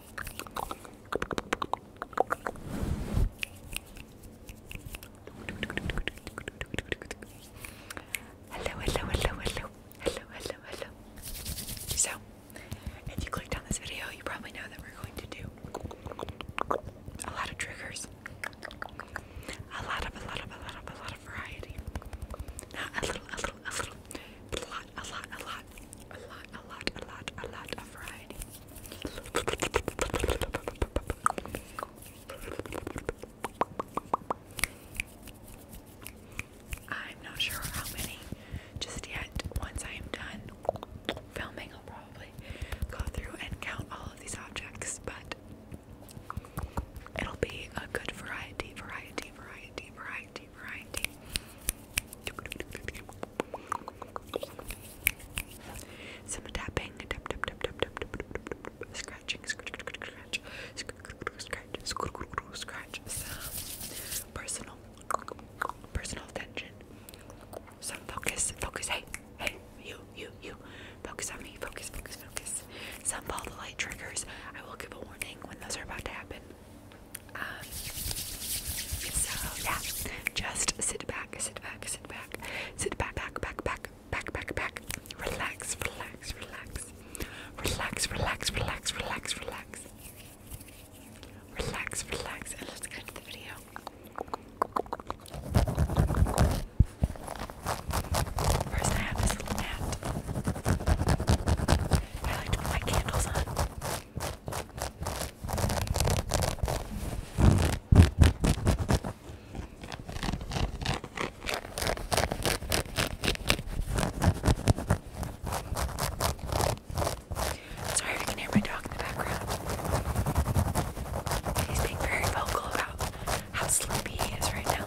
Hello, hello, hello, hello, hello, hello, So, if you clicked on this video, you probably know that we're going to do a lot of triggers, a lot of, a lot of, a lot of, a lot of variety. a little, a little, a little, a lot, a lot, a lot, a lot, a lot, a lot, a lot of variety. I'm not sure how many just yet. Once I am done filming, I'll probably go through and count all of these objects, but it'll be a good variety, variety, variety, variety, variety. Some tapping, tap, tap, tap, tap, tap, tap, tap, scratching, scratch, scratch, scratch, scratch, scratch, some personal, personal attention, some focus, focus, hey, hey, you, you, you, focus on me, focus, focus, focus. Some follow the light triggers. I will give a warning when those are about to happen. Um, so yeah, just sit back, sit back, sit back, sit back, back, back, back, back, back, back. Relax, relax, relax, relax, relax, relax, relax, relax. Relax, relax, and let's get to the video. First, I have this little mat. I like to put my candles on. Sorry if you can hear my dog in the background. He's being very vocal about how sleepy he is right now.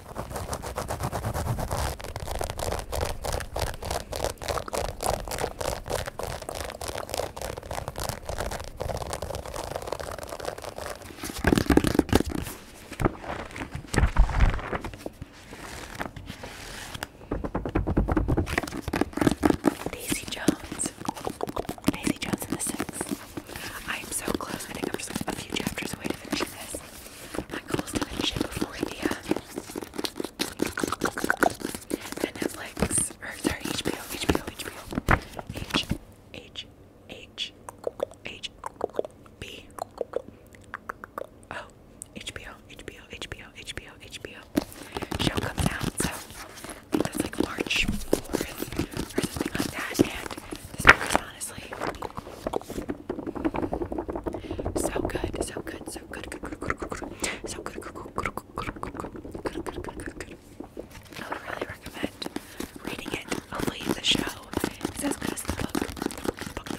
Daisy Jones. Daisy Jones and the Six. I am so close. I think I'm just a few chapters away to finish this. Michael's gonna ship before uh, the Netflix or sorry HBO HBO HBO H H H H B HBO oh, HBO HBO HBO HBO show comes out so that's like March 4th or something like that and this is honestly so good, so good, so good, good, good, good, good, so good, good, good, good, good, I would really recommend reading it. Hopefully, the show the book. The book,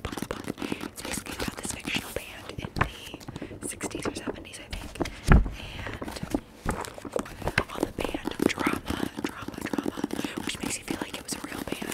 the book, It's basically about this fictional band in the 60s or 70s, I think, and all the band drama, drama, drama, which makes you feel like it was a real band.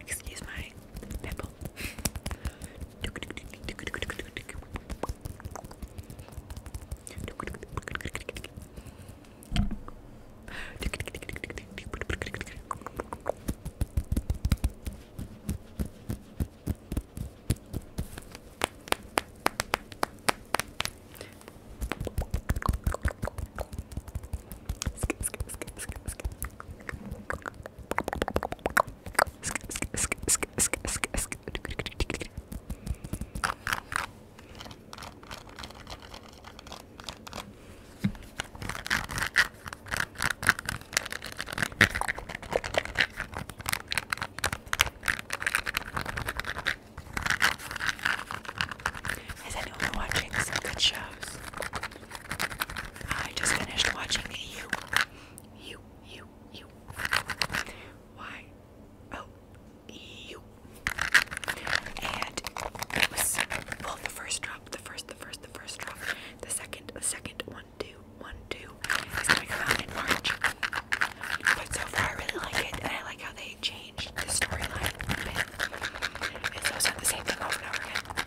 Excuse me, nipple. Has anyone been watching some good shows? I just finished watching you. You, you, you. Why? Oh, you. And it was well the first drop, the first, the first, the first drop, the second, the second, one, two, one, two. It's gonna come out in March. But so far I really like it and I like how they changed the storyline a bit. It's also the same thing over and over again.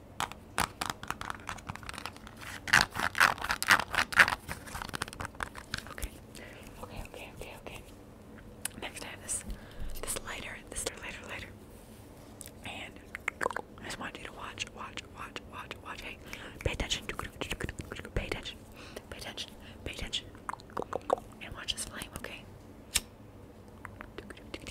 Okay. Okay, okay, okay, okay. Next I this this lighter, this lighter lighter. And I just want you to watch, watch, watch, watch, watch. Hey, pay attention. Pay attention. Pay attention. Pay attention. And watch this flame, okay? I'm going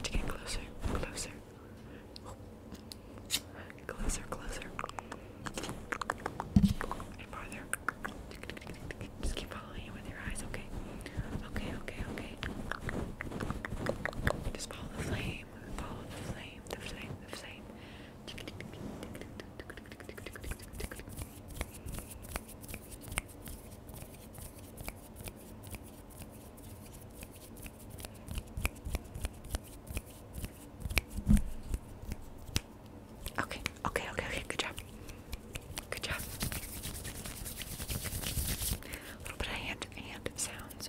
to get closer, closer. Closer, closer farther. Just keep following it with your eyes, okay? Okay, okay, okay. Just follow the flame. Follow the flame, the flame, the flame. Okay, Okay, okay, okay, okay, good job. Good job. little bit of hand hand sounds.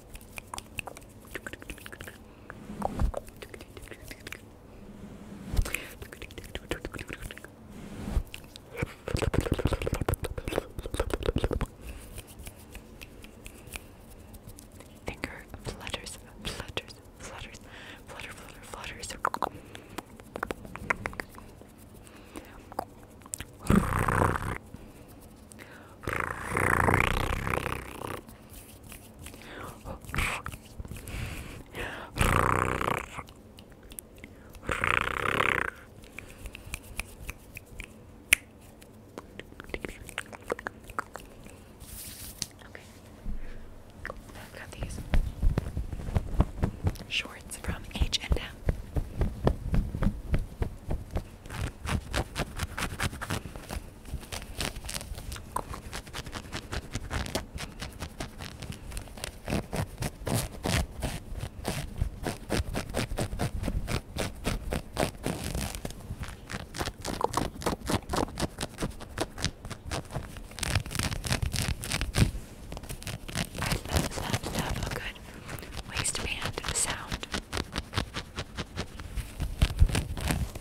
Finger flutters, flutters, flutters, flutter, flutter, flutters. Okay. I've got these shorts from H and M. I love, love, love a good waistband sound.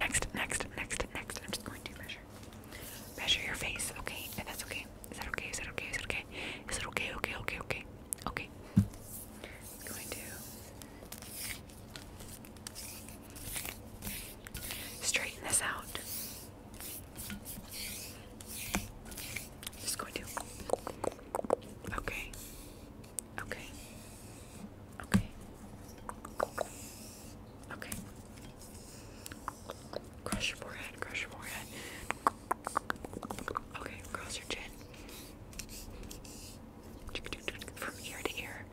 Next, next, next, next. I'm just going to measure. Measure your face, okay? If that's okay. Is that okay? Is that okay? Is that okay? Is it okay? Okay, okay, okay. Okay. I'm going to Straighten this out. Just going to. Okay. Okay. Okay. Okay. Crush your forehead. Crush your forehead. Okay. Cross your chin. From ear to ear.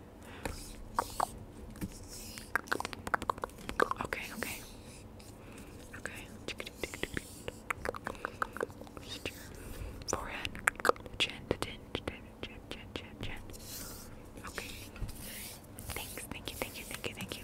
Okay, okay. Okay. forehead, chin, chin, chin, chin, chin, chin. Okay. Thanks, thank you, thank you, thank you, thank you.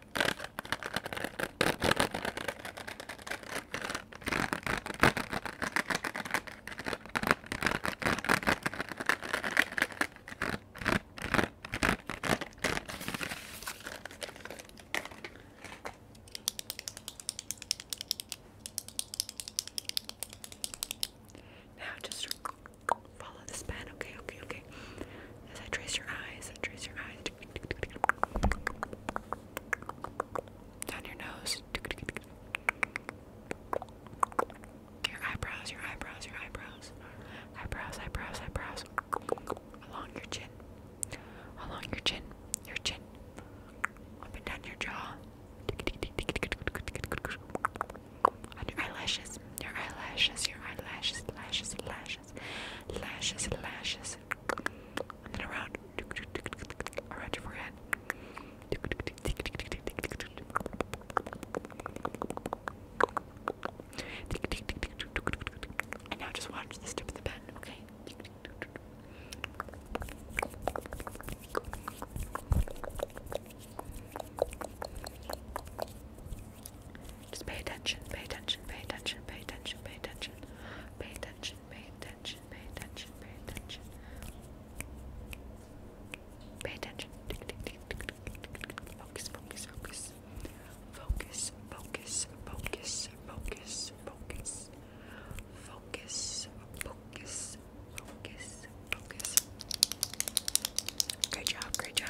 Now just follow this pen, okay, okay, okay. As I trace your eyes, I trace your eyes. Down your nose. Your eyebrows, your eyebrows, your eyebrows. Eyebrows, eyebrows, eyebrows. Along your chin. Along your chin. Your chin. Up and down your jaw. On your eyelashes. Your eyelashes. Your eyelashes. Lashes. Lashes lashes, lashes, and around, around your forehead. And now just watch this tip of the pen, okay? Just pay attention, pay attention, pay attention, pay attention, pay attention, pay attention, pay attention, pay attention, pay attention. Pay attention. Focus, focus, focus. Focus, focus, focus, focus, focus. Focus, focus, focus, focus. Great job, great job.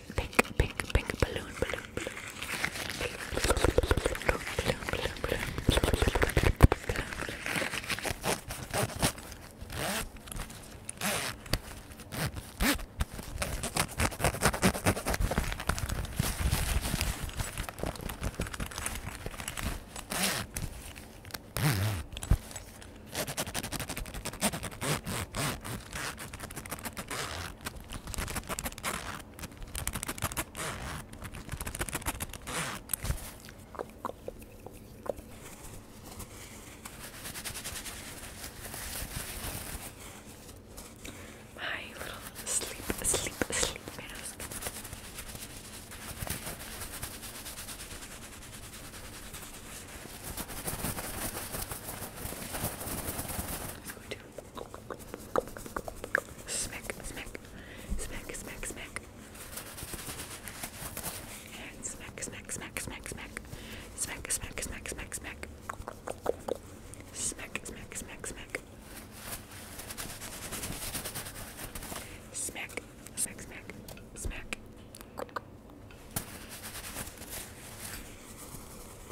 pink, pink, pink balloon, balloon, balloon. Balloon, balloon, balloon, balloon, balloon, balloon. My little sleep, sleep, sleep mask. I'm going to Smack, smack, smack, smack, smack. And smack, smack, smack, smack, smack. Smack, smack, smack, smack, smack. Smack, smack, smack, smack. Smack, smack, smack, smack.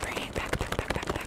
Bringing it back, back, back, back, back.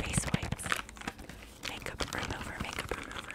Face wipes. Makeup remover, makeup remover.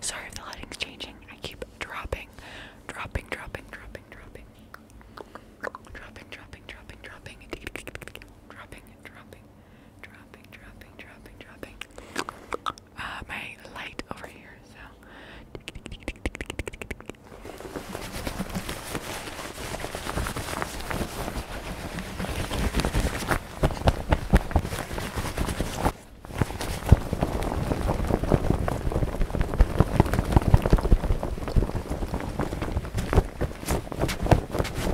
Sorry if the lighting's changing. I keep dropping, dropping, dropping, dropping, dropping, dropping, dropping, dropping, dropping, dropping, dropping dropping, dropping, dropping, dropping. Uh, my light over here, so.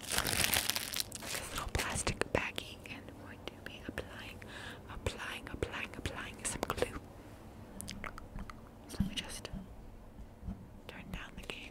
this little plastic baggie, and I'm going to be applying, applying, applying, applying some glue. let me just turn down the game.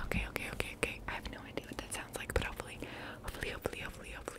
Okay, okay, okay, okay. I have no idea what that sounds like, but hopefully, hopefully, hopefully, hopefully, hopefully,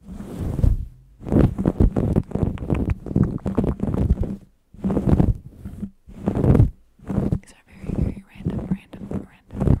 These are very, very random, random, random, random.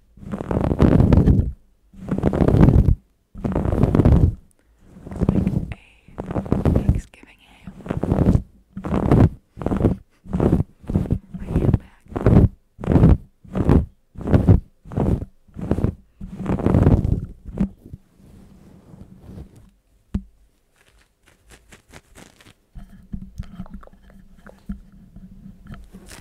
like a Thanksgiving ham. My ham back.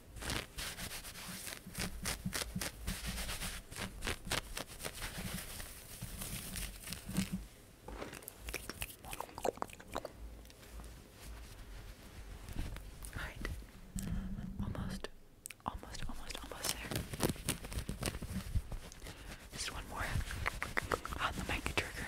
All right, almost, almost, almost, almost there. Just one more on the mic trigger.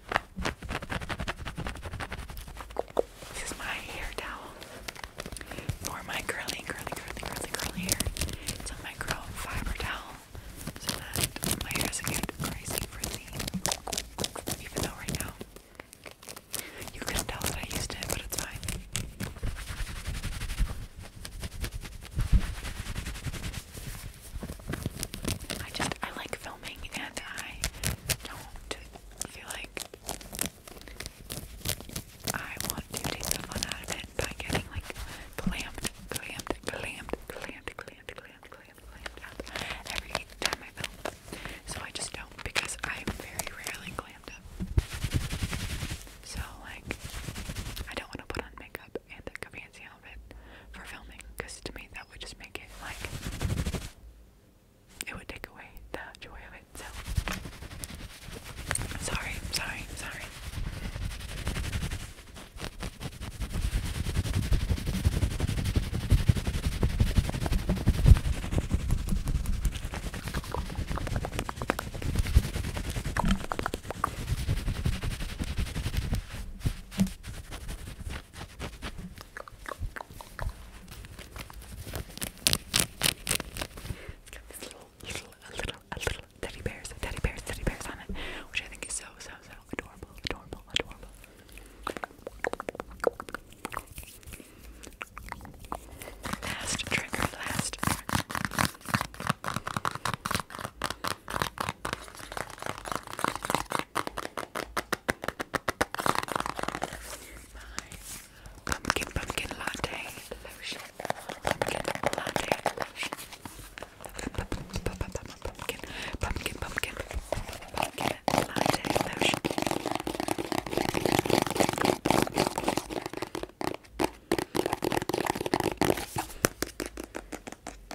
This is my hair towel for my curly, curly, curly, curly, curly hair. It's a micro fiber towel so that my hair doesn't get crazy frizzy. Even though right now you could tell that I used it, but it's fine. I just I like filming and I don't feel like I want to take the out of it by like clamped, clamped, clamped, clamped, clamped, clamped, clamped, clamped every time I film. So I just don't because I'm very rarely clamped up. So like I don't want to put on makeup and the Gavanzi outfit for filming because to me that would just make it like it would take away the joy of it. So sorry, sorry, sorry it got this little, little, a little, a little teddy bears, teddy bears, teddy bears on it, which I think is so, so, so adorable, adorable, adorable. Last trigger, last Pumpkin pumpkin latte lotion. Pumpkin latte lotion. Pumpkin pumpkin pumpkin pumpkin latte lotion.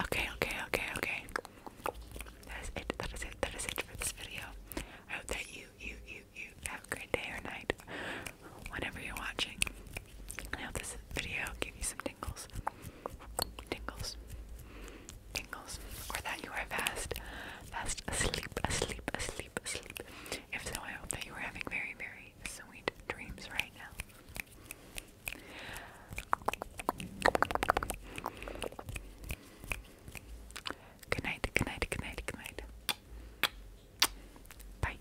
Okay, okay, okay, okay. That is it. That is it. That is it for this video. I hope that you, you, you, you have a great day or night, whenever you're watching. I hope this video gave you some tingles, tingles, tingles, or that you are fast, fast asleep, asleep, asleep, asleep. If so, I hope that you are having very, very sweet dreams right now. Good night, good night, Bye.